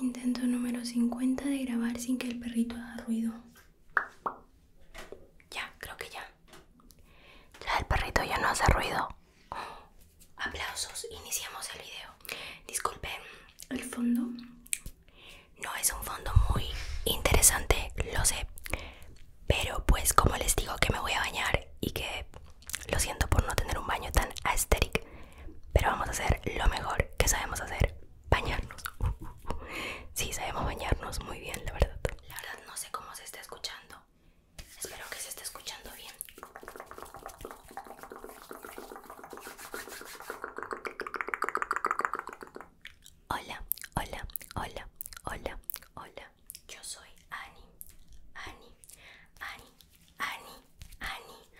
Intento número 50 de grabar sin que el perrito haga ruido. Ya, creo que ya. Ya el perrito ya no hace ruido. aplausos, iniciamos el video. Disculpe, el fondo no es un fondo muy interesante, lo sé, pero pues como les digo que me voy a bañar y que lo siento por no tener un baño tan aesthetic, pero vamos a hacer lo mejor que sabemos hacer, bañarnos. Sí, sabemos bañarnos muy bien, la verdad. La verdad no sé cómo se está escuchando. Espero que se esté escuchando bien. Hola, hola, hola, hola, hola, yo soy Ani, Ani, Ani, Ani, Ani,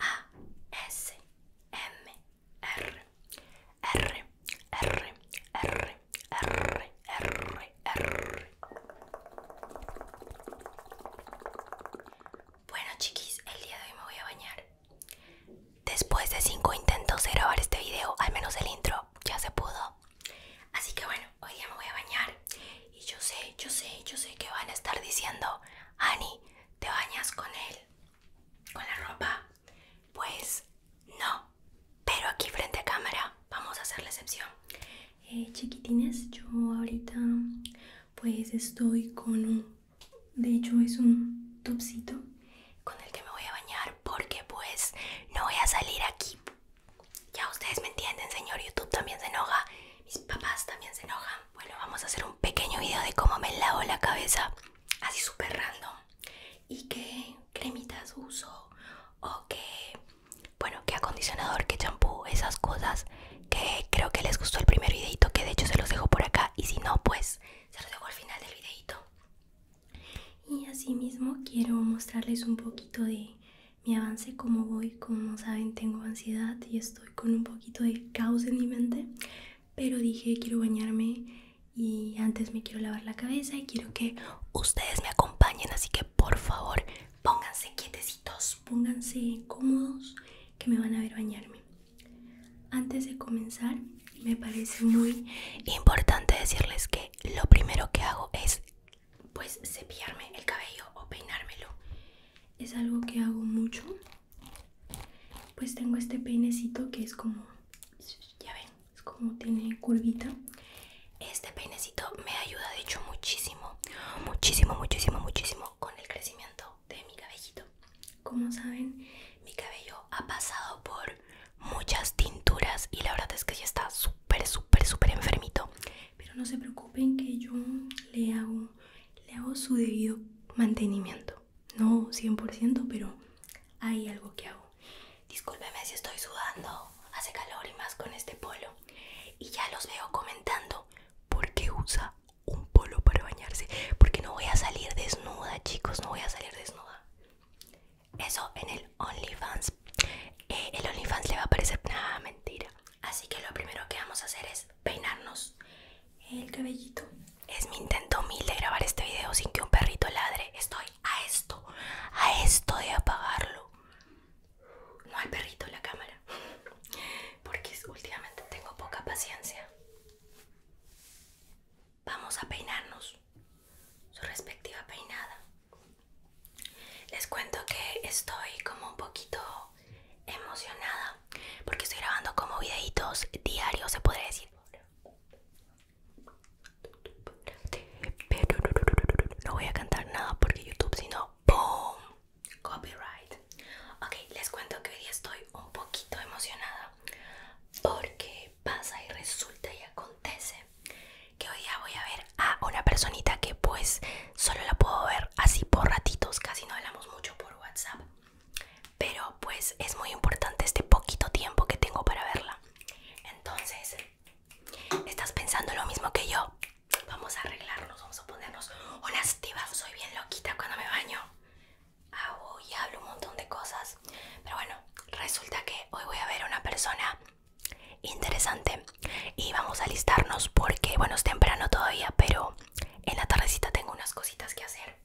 A, S, M, R, R, R, R, R, R, R. Bueno chiquis, el día de hoy me voy a bañar. Después de cinco intentos de grabar este video, al menos el intro, ya se pudo Así que bueno, hoy día me voy a bañar. Y yo sé, yo sé, yo sé que van a estar diciendo, Ani, ¿te bañas con él? ¿Con la ropa? Pues no. Pero aquí frente a cámara vamos a hacer la excepción. Eh, chiquitines, yo ahorita pues estoy con un... De hecho es un topsito con el que me voy a bañar porque pues no voy a salir aquí ya ustedes me entienden, señor YouTube también se enoja, mis papás también se enojan. Bueno, vamos a hacer un pequeño video de cómo me lavo la cabeza, así súper random. Y qué cremitas uso, o qué, bueno, qué acondicionador, qué champú, esas cosas que creo que les gustó el primer videito, que de hecho se los dejo por acá. Y si no, pues se los dejo al final del videito y asimismo quiero mostrarles un poquito de mi avance como voy como saben tengo ansiedad y estoy con un poquito de caos en mi mente pero dije quiero bañarme y antes me quiero lavar la cabeza y quiero que ustedes me acompañen así que por favor pónganse quietecitos pónganse cómodos que me van a ver bañarme antes de comenzar me parece muy importante decirles que lo primero que hago es pues cepillarme el cabello o peinármelo. Es algo que hago mucho. Pues tengo este peinecito que es como, ya ven, es como tiene curvita. Este peinecito me ayuda de hecho muchísimo, muchísimo, muchísimo, muchísimo con el crecimiento de mi cabellito. Como saben, mi cabello ha pasado por muchas tinturas y la verdad es que ya está súper, súper, súper enfermito. Pero no se preocupen que yo le hago, le su debido mantenimiento. No 100%, pero hay algo que hago. Discúlpeme si estoy sudando, hace calor y más con este polo. Y ya los veo comentando por qué usa un polo para bañarse. Porque no voy a salir desnuda, chicos, no voy a salir desnuda eso en el OnlyFans. Eh, el OnlyFans le va a parecer nada mentira. Así que lo primero que vamos a hacer es peinarnos el cabellito. Es mi intento mil de grabar este video sin que un perrito ladre. Estoy a esto, a esto de apagarlo. No hay perrito en la cámara. Porque últimamente tengo poca paciencia. Vamos a peinarnos. Su respectiva peinada. Les cuento que estoy como un poquito emocionada porque estoy grabando como videitos diarios, se podría decir. no voy a cantar nada porque YouTube, sino ¡boom! Copyright. Ok, les cuento que hoy estoy un poquito emocionada porque pasa y resulta y acontece que hoy día voy a ver a una personita que pues solo la puedo ver así por ratitos, casi no hablamos mucho por WhatsApp, pero pues es muy importante este poquito tiempo que tengo para verla. Entonces, ¿estás pensando lo mismo que yo? Vamos a arreglarnos, vamos a ponernos Una Stiva, Soy bien loquita cuando me baño. Hago y hablo un montón de cosas. Pero bueno, resulta que hoy voy a ver a una persona interesante y vamos a listarnos porque, bueno, es temprano todavía, pero en la tardecita tengo unas cositas que hacer.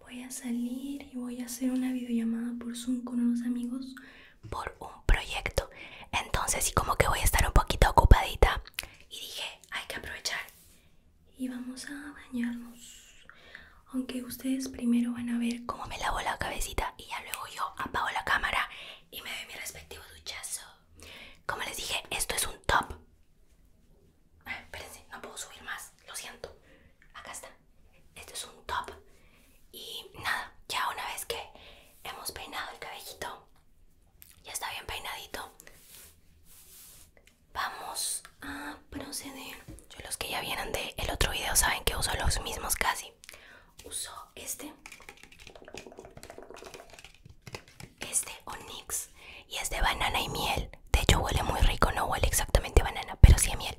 Voy a salir y voy a hacer una videollamada por Zoom con unos amigos por un proyecto. Entonces, y como que voy a estar un poquito ocupadita y dije, hay que aprovechar y vamos a bañarnos aunque ustedes primero van a ver cómo me lavo la cabecita y ya luego yo apago la cámara y me doy mi respectivo duchazo. Como les dije, esto es un top. Ah, espérense, no puedo subir más, lo siento. Acá está. Esto es un top. Y nada, ya una vez que hemos peinado el cabellito, ya está bien peinadito. Vamos a proceden Yo los que ya vieron del el otro video saben que uso los mismos casi. Uso este, este Onyx y es de banana y miel. De hecho huele muy rico, no huele exactamente banana, pero sí a miel.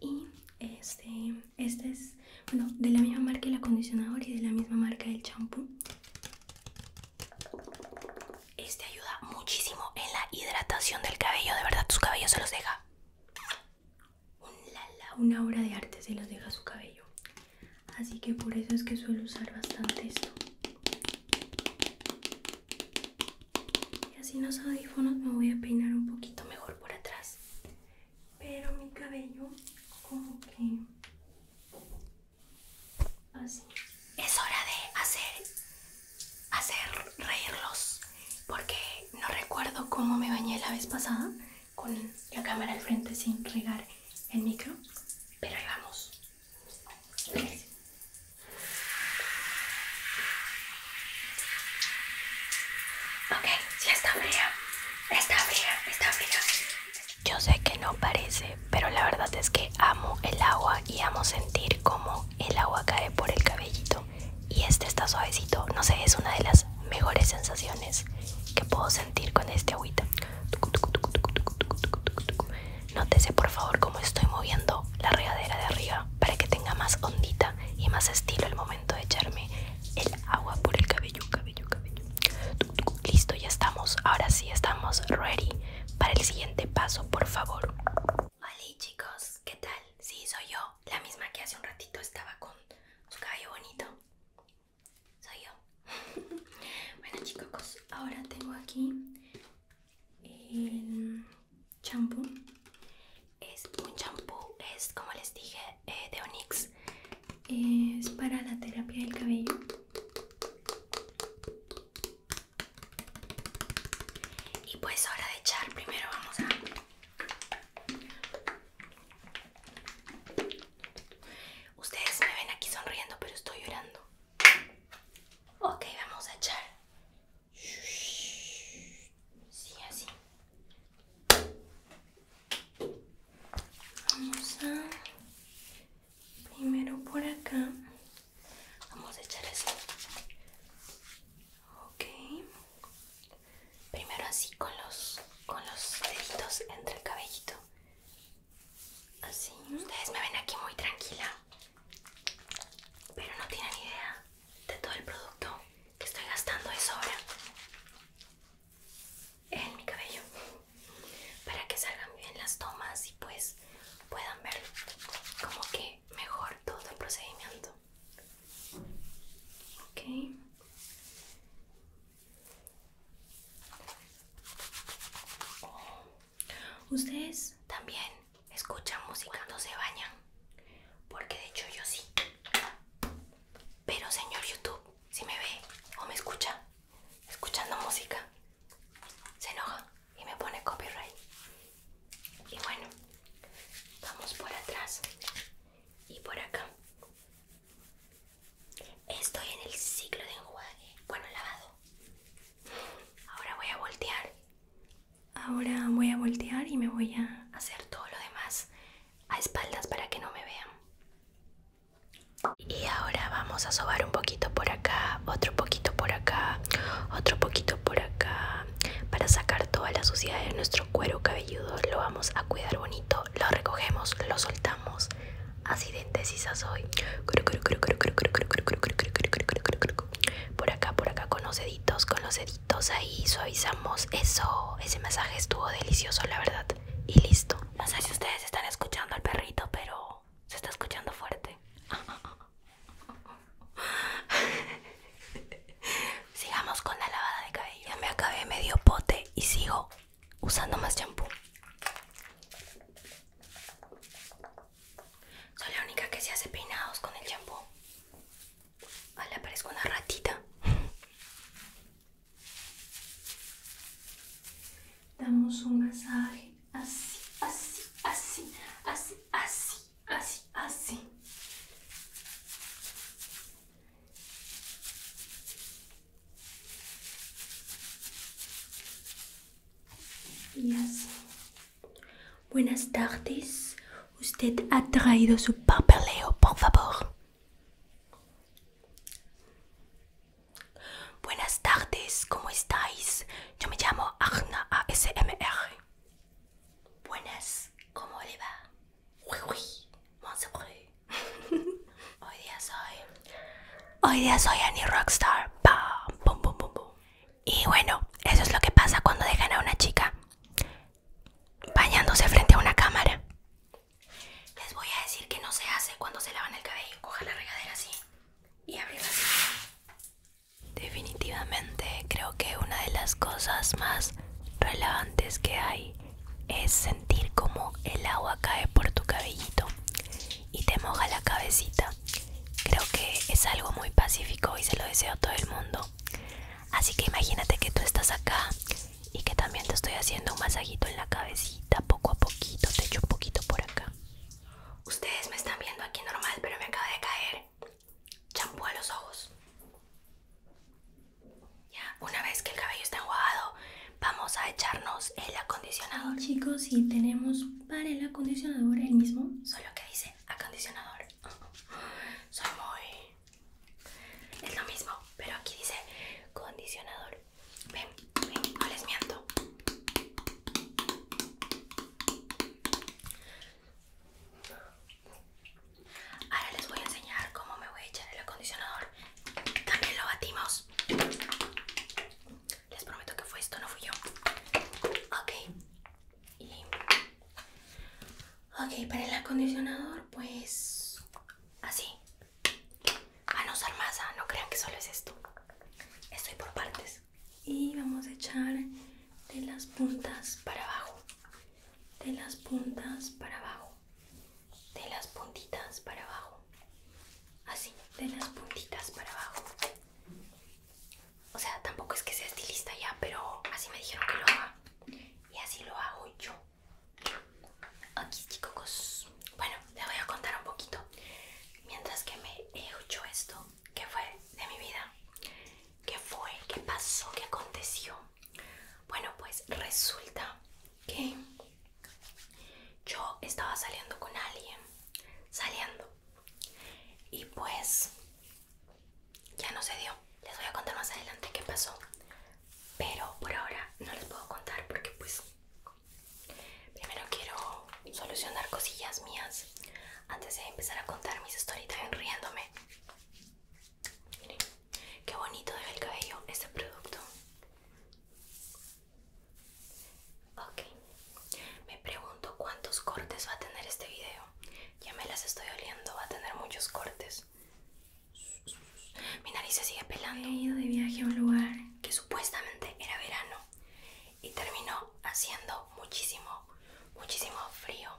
Y este, este es, bueno, de la misma marca el acondicionador y de la misma marca el champú. Este ayuda muchísimo en la hidratación del cabello, de verdad tus cabellos se los deja una obra de arte se los deja su cabello. Así que por eso es que suelo usar bastante esto. Y así los audífonos me voy a peinar un poquito mejor por atrás. Pero mi cabello como que... Así. Es hora de hacer hacer reírlos porque no recuerdo cómo me bañé la vez pasada con la cámara al frente sin regar el micro, pero ahí vamos. Ok, ya está fría, está fría, está fría. Yo sé que no parece, pero la verdad es que amo el agua y amo sentir como el agua cae por el cabellito y este está suavecito. No sé, es una de las mejores sensaciones que puedo sentir con este agüita. Nótese por favor cómo estoy moviendo la regadera de arriba para que tenga más ondita y más estilo el momento de echarme el agua por el cabello, cabello, cabello. Listo, ya estamos. Ahora sí estamos ready para el siguiente paso, por favor. Hola chicos. ¿qué tal? Sí, soy yo, la misma que hace un ratito estaba con su cabello bonito. Soy yo. bueno chicos, ahora tengo aquí el champú. Es un champú, es como les dije, eh, de Onyx. Es para la terapia del cabello. Y pues ahora de echar, primero vamos a Ustedes me ven aquí sonriendo, pero estoy llorando. Ok, vamos a echar. Sí, así. Vamos a... Primero por acá. Vamos a echar así. Ok. Primero así con los con los deditos entre el cabellito. Así. Ustedes me ven aquí muy tranquila. Pero no tienen idea de todo el producto que estoy gastando de sobra en mi cabello para que salgan bien las tomas y pues puedan ver como que mejor todo el procedimiento. Ok. Ustedes también escuchan música cuando se bañan, porque de hecho yo sí. Pero señor YouTube, si me ve o me escucha escuchando música, se enoja y me pone copyright. Y bueno, vamos por atrás y por acá. Estoy en el ciclo de enjuague, bueno, lavado. Ahora voy a voltear. Ahora voy a voltear y me voy a hacer todo lo demás a espaldas para que no me vean. Y ahora vamos a sobar un poquito por acá, otro poquito por acá, otro poquito por acá. Para sacar toda la suciedad de nuestro cuero cabelludo lo vamos a cuidar bonito. Lo recogemos, lo soltamos. Así de indecisa soy. Por acá, por acá, con los deditos, con los deditos ahí suavizamos eso. Ese masaje estuvo delicioso, la verdad. Y listo. No sé si ustedes están escuchando al perrito, pero se está escuchando fuerte. Ah, Sigamos con la lavada de cabello. me acabé medio pote y sigo usando más champú. Soy la única que se hace peinados con el champú. Vale, ah, aparezco una ratita. Damos un masaje así, así, así, así, así así, ah, así. Ah, Buenas tardes. Usted ha traído su papeleo, por favor. Buenas tardes, ¿cómo estáis? Yo me llamo Arna ASMR. Buenas, ¿cómo le va? Hoy día soy. Hoy día soy Annie Rockstar. Y bueno, eso es lo que pasa cuando dejan a una chica bañándose frente a una cámara. Les voy a decir que no se hace cuando se lavan el cabello. Coja la regadera así y abrirla Definitivamente creo que una de las cosas más relevantes que hay es sentir como el agua cae por tu cabellito y te moja la cabecita. Creo que es algo muy pacífico y se lo deseo a todo el mundo. Así que imagínate que tú estás acá y que también te estoy haciendo un masajito en la cabecita, poco a poquito, te echo un poquito por acá. Ustedes me están viendo aquí normal, pero me acaba de caer champú a los ojos. Ya, una vez que el cabello está enjuagado, vamos a echarnos el acondicionador. chicos, si tenemos para el acondicionador el mismo, solo que dice acondicionador. Soy muy... Es lo mismo, pero aquí dice condicionador. Ven, ven, no les miento. Ahora les voy a enseñar cómo me voy a echar el acondicionador. También lo batimos. Les prometo que fue esto, no fui yo. Ok. Ok, para el acondicionador, pues... Así. Van a usar masa, no crean que solo es esto. Estoy por partes y vamos a echar de las puntas para abajo de las puntas para abajo de las puntitas para abajo así de las puntitas para abajo o sea tampoco es que sea estilista ya pero así me dijeron que lo haga y así lo hago yo aquí chicos bueno les voy a contar un poquito mientras que me he hecho esto ¿Qué fue de mi vida? ¿Qué fue? ¿Qué pasó? ¿Qué aconteció? Bueno, pues resulta que yo estaba saliendo con alguien, saliendo, y pues ya no se dio. Les voy a contar más adelante qué pasó, pero por ahora no les puedo contar porque pues Primero quiero solucionar cosillas mías antes de empezar a contar mis historitas en riéndome. Miren, qué bonito deja el cabello este producto. Ok, me pregunto cuántos cortes va a tener este video. Ya me las estoy oliendo, va a tener muchos cortes. Mi nariz se sigue pelando. He ido de viaje a un lugar que supuestamente era verano y terminó haciendo muchísimo, muchísimo frío.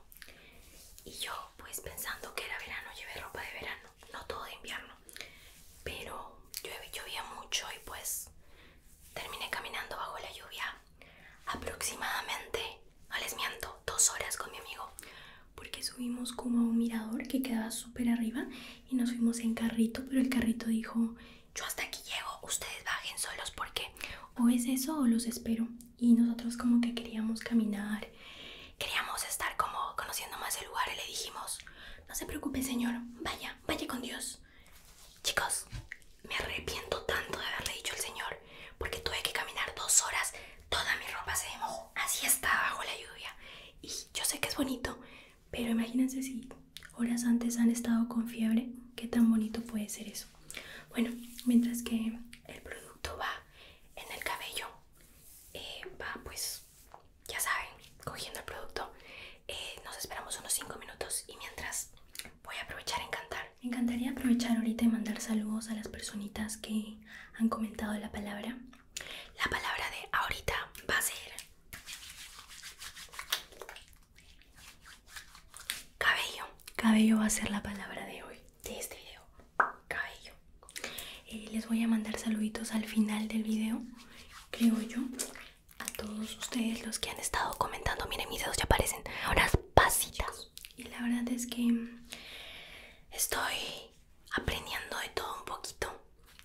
Y yo pues pensando que era verano, llevé ropa de verano, no todo de invierno. Pero llovía mucho y pues terminé caminando bajo la lluvia aproximadamente, no les miento, dos horas con mi amigo. Porque subimos como a un mirador que quedaba súper arriba y nos fuimos en carrito, pero el carrito dijo yo hasta aquí llego, ustedes bajen solos porque o es eso o los espero. Y nosotros como que queríamos caminar, queríamos estar como conociendo más el lugar y le dijimos, no se preocupe señor, vaya, vaya con Dios. Chicos, me arrepiento tanto de haberle dicho al señor porque tuve que caminar dos horas, toda mi ropa se mojó, así está bajo la lluvia. Y yo sé que es bonito, pero imagínense si horas antes han estado con fiebre, qué tan bonito puede ser eso. Bueno, mientras que el producto va en el cabello, eh, va pues, ya saben, cogiendo el producto. Eh, nos esperamos unos 5 minutos y mientras voy a aprovechar a encantar. Me encantaría aprovechar ahorita y mandar saludos a las personitas que han comentado la palabra. La palabra de ahorita va a ser Cabello, cabello va a ser la palabra de hoy, de este video. Cabello. Eh, les voy a mandar saluditos al final del video, creo yo. A todos ustedes los que han estado comentando, miren mis dedos ya aparecen. horas pasitas. Y la verdad es que estoy aprendiendo de todo un poquito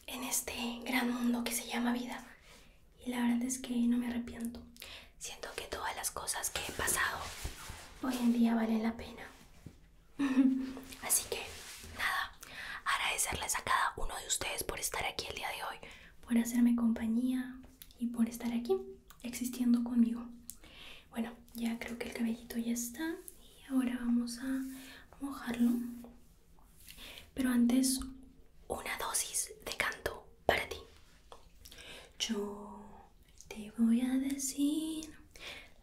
en este gran mundo que se llama vida y la verdad es que no me arrepiento. Siento que todas las cosas que he pasado hoy en día valen la pena. Así que nada, agradecerles a cada uno de ustedes por estar aquí el día de hoy, por hacerme compañía y por estar aquí existiendo conmigo. Bueno, ya creo que el cabellito ya está y ahora vamos a mojarlo pero antes, una dosis de canto para ti. Yo te voy a decir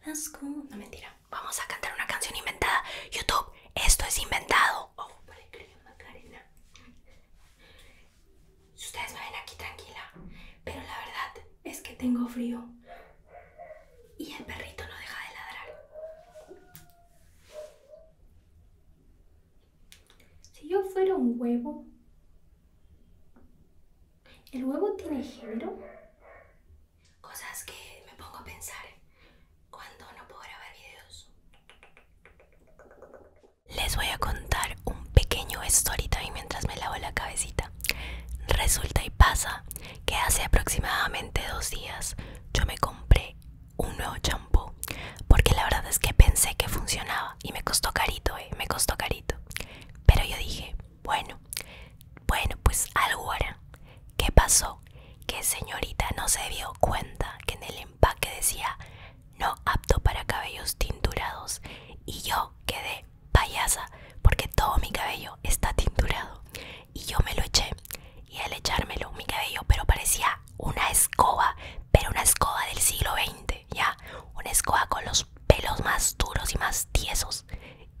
las cosas. No mentira. Vamos a cantar una canción inventada. YouTube, esto es inventado. Oh, ustedes me ven aquí tranquila, pero la verdad es que tengo frío y el perrito no deja de ladrar. Si yo fuera un huevo, ¿el huevo tiene género? Cosas que me pongo a pensar cuando no puedo grabar videos. Les voy a contar un pequeño storytime mientras me lavo la cabecita. Resulta y pasa que hace aproximadamente dos días yo me compré un nuevo champú porque la verdad es que pensé que funcionaba y me costó carito, eh, me costó carito. Pero yo dije, bueno, bueno, pues algo ahora. ¿Qué pasó? Que señorita no se dio cuenta que en el empaque decía no apto para cabellos tinturados y yo quedé payasa porque todo mi cabello está tinturado y yo me lo eché y al echármelo mi cabello pero parecía una escoba pero una escoba del siglo XX ya una escoba con los pelos más duros y más tiesos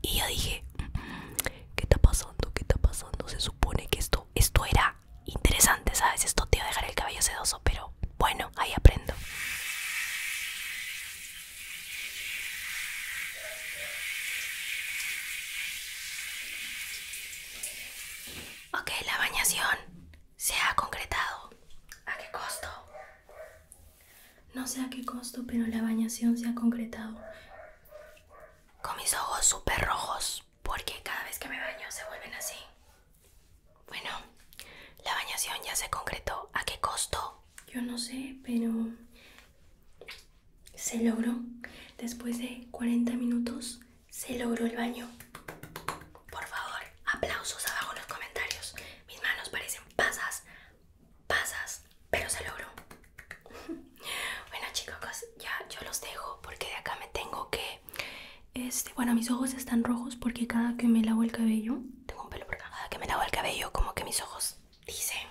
y yo dije mm, qué está pasando qué está pasando se supone que esto esto era interesante sabes esto te iba a dejar el cabello sedoso pero bueno ahí aprendo Ok, la bañación se ha concretado. ¿A qué costo? No sé a qué costo, pero la bañación se ha concretado. Con mis ojos súper rojos, porque cada vez que me baño se vuelven así. Bueno, la bañación ya se concretó. ¿A qué costo? Yo no sé, pero se logró. Después de 40 minutos se logró el baño. Por favor, aplausos abajo en los comentarios. Mis manos parecen pasas, pasas, pero se logró. bueno chicos, ya yo los dejo porque de acá me tengo que... Este, bueno, mis ojos están rojos porque cada que me lavo el cabello, tengo un pelo por acá, cada que me lavo el cabello como que mis ojos dicen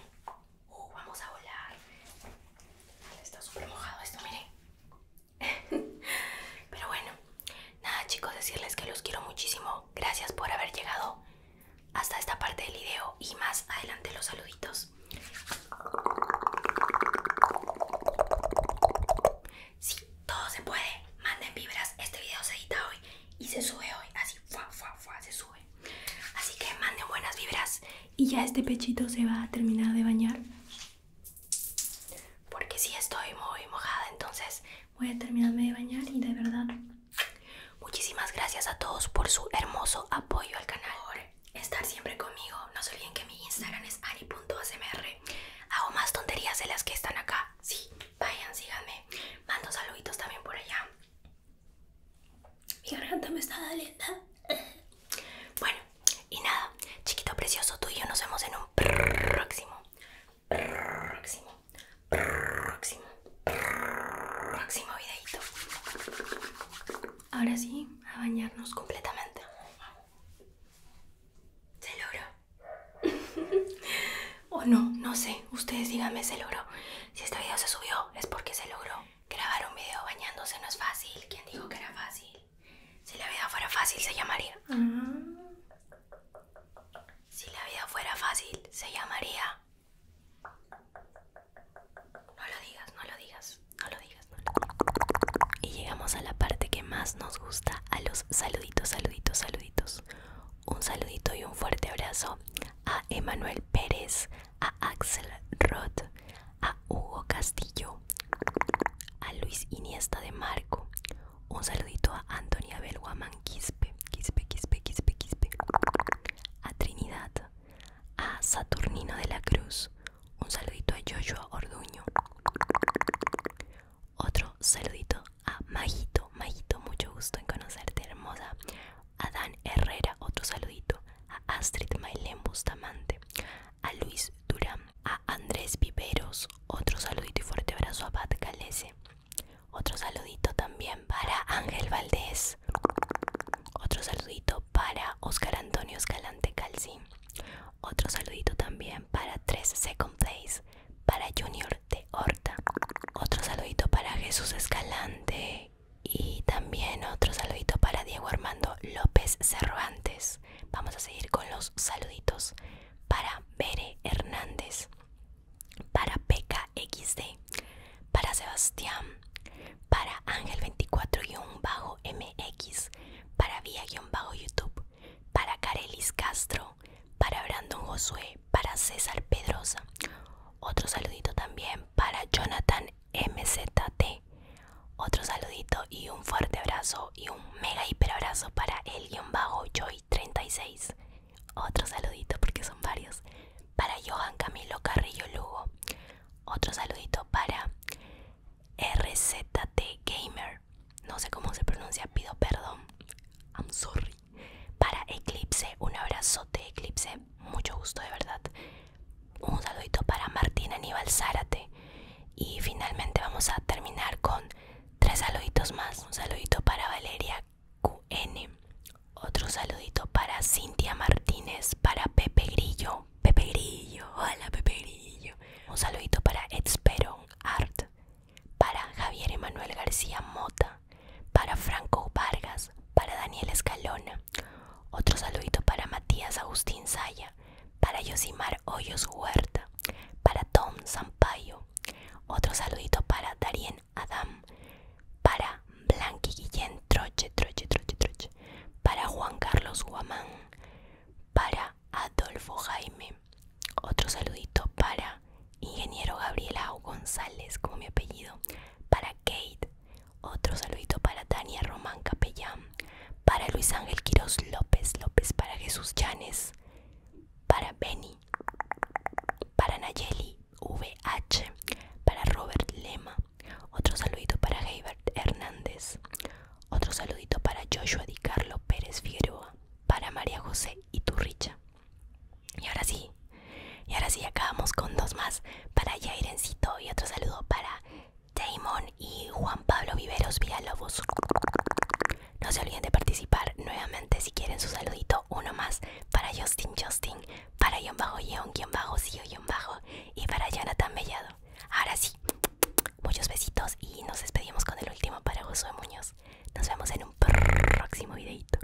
Uh, vamos a volar. está súper mojado esto, miren. Pero bueno, nada chicos, decirles que los quiero muchísimo. Gracias por haber llegado hasta esta parte del video y más adelante los saluditos. Sí, todo se puede. Manden vibras. Este video se edita hoy y se sube hoy. Así, se sube. Así que manden buenas vibras y ya este pechito se va a terminar de bañar porque si estoy muy mojada entonces voy a terminarme de bañar y de verdad muchísimas gracias a todos por su hermoso apoyo al canal por estar siempre conmigo no se olviden que mi instagram es ani.smr hago más tonterías de las que están acá sí vayan síganme mando saluditos también por allá mi garganta me está doliendo. Bueno, y nada, chiquito precioso, tú y yo nos vemos en un próximo. Próximo. Próximo. Próximo videito. Ahora sí, a bañarnos completamente. Se logró. o no, no sé. Ustedes díganme, se logró. Si este video se subió es porque se logró. Grabar un video bañándose no es fácil. ¿Quién dijo que era fácil? Si la vida fuera fácil se llamaría. Si la vida fuera fácil se llamaría. No lo digas, no lo digas, no lo digas. Y llegamos a la parte que más nos gusta, a los saluditos, saluditos, saluditos. Un saludito y un fuerte abrazo a Emanuel Pérez, a Axel Roth, a Hugo Castillo, a Luis Iniesta de Marco, un saludito a Antonia Belguaman Quispe, Quispe, Quispe, Quispe, Quispe, a Trinidad, a Saturnino de la Cruz, un saludito a Joshua Orduño, otro saludito a Majito, Majito, mucho gusto en conocerte hermosa, Adán Herrera, otro saludito. A Astrid Mailén Bustamante. A Luis Durán. A Andrés Viveros, otro saludito y fuerte abrazo. A Pat Calese. Otro saludito también para Ángel Valdés. Otro saludito para Oscar Antonio Escalante Calcín. Otro saludito también para Tres Second Place. Para Junior de Horta. Otro saludito para Jesús Escalante y también otro saludito para Diego Armando López Cervantes. Vamos a seguir con los saluditos para Bere Hernández, para PKXD, para Sebastián, para Ángel24-MX, para Vía-YouTube, para Carelis Castro, para Brandon Josué, para César Pedrosa. Otro saludito también para Jonathan MZT. Otro saludito y un fuerte abrazo y un mega hiper abrazo para el guión bajo Joy36. Otro saludito porque son varios. Para Johan Camilo Carrillo Lugo. Otro saludito para RZT Gamer. No sé cómo se pronuncia, pido perdón. I'm sorry. Para Eclipse, un abrazote Eclipse mucho gusto de verdad. Un saludito para Martín Aníbal Zárate. Y finalmente vamos a terminar con tres saluditos más. Un saludito para Valeria QN. Otro saludito para Cintia Martínez, para Pepe Grillo. Pepe Grillo, hola Pepe Grillo. Un saludito para Esperón Art, para Javier Emanuel García Mota, para Franco Vargas, para Daniel Escalona. Otro saludito para Matías Agustín Zaya para Yosimar Hoyos Huerta, para Tom Sampaio. Otro saludito para Darien Adam, para Blanqui Guillén Troche, Troche, Troche, Troche, para Juan Carlos Guamán, para Adolfo Jaime. Otro saludito para Ingeniero Gabriela González, como mi apellido, para Kate, otro saludito para Tania Román Capellán, para Luis Ángel Quirós López López, para Jesús Llanes, para Benny, para Nayeli VH, para Robert Lema. Otro saludito para Heibert Hernández. Otro saludito para Joshua Di Carlo Pérez Figueroa, para María José Iturricha. Y ahora sí, y ahora sí, acabamos con dos más para Jairencito y otro saludo para Damon y Juan Pablo Viveros Villalobos. No se olviden de participar nuevamente si quieren su saludito. Uno más para Justin Justin, para John Bajo John, John Bajo Sio, Bajo y para Jonathan Bellado. Ahora sí, muchos besitos y nos despedimos con el último para Josué Muñoz. Nos vemos en un próximo videito.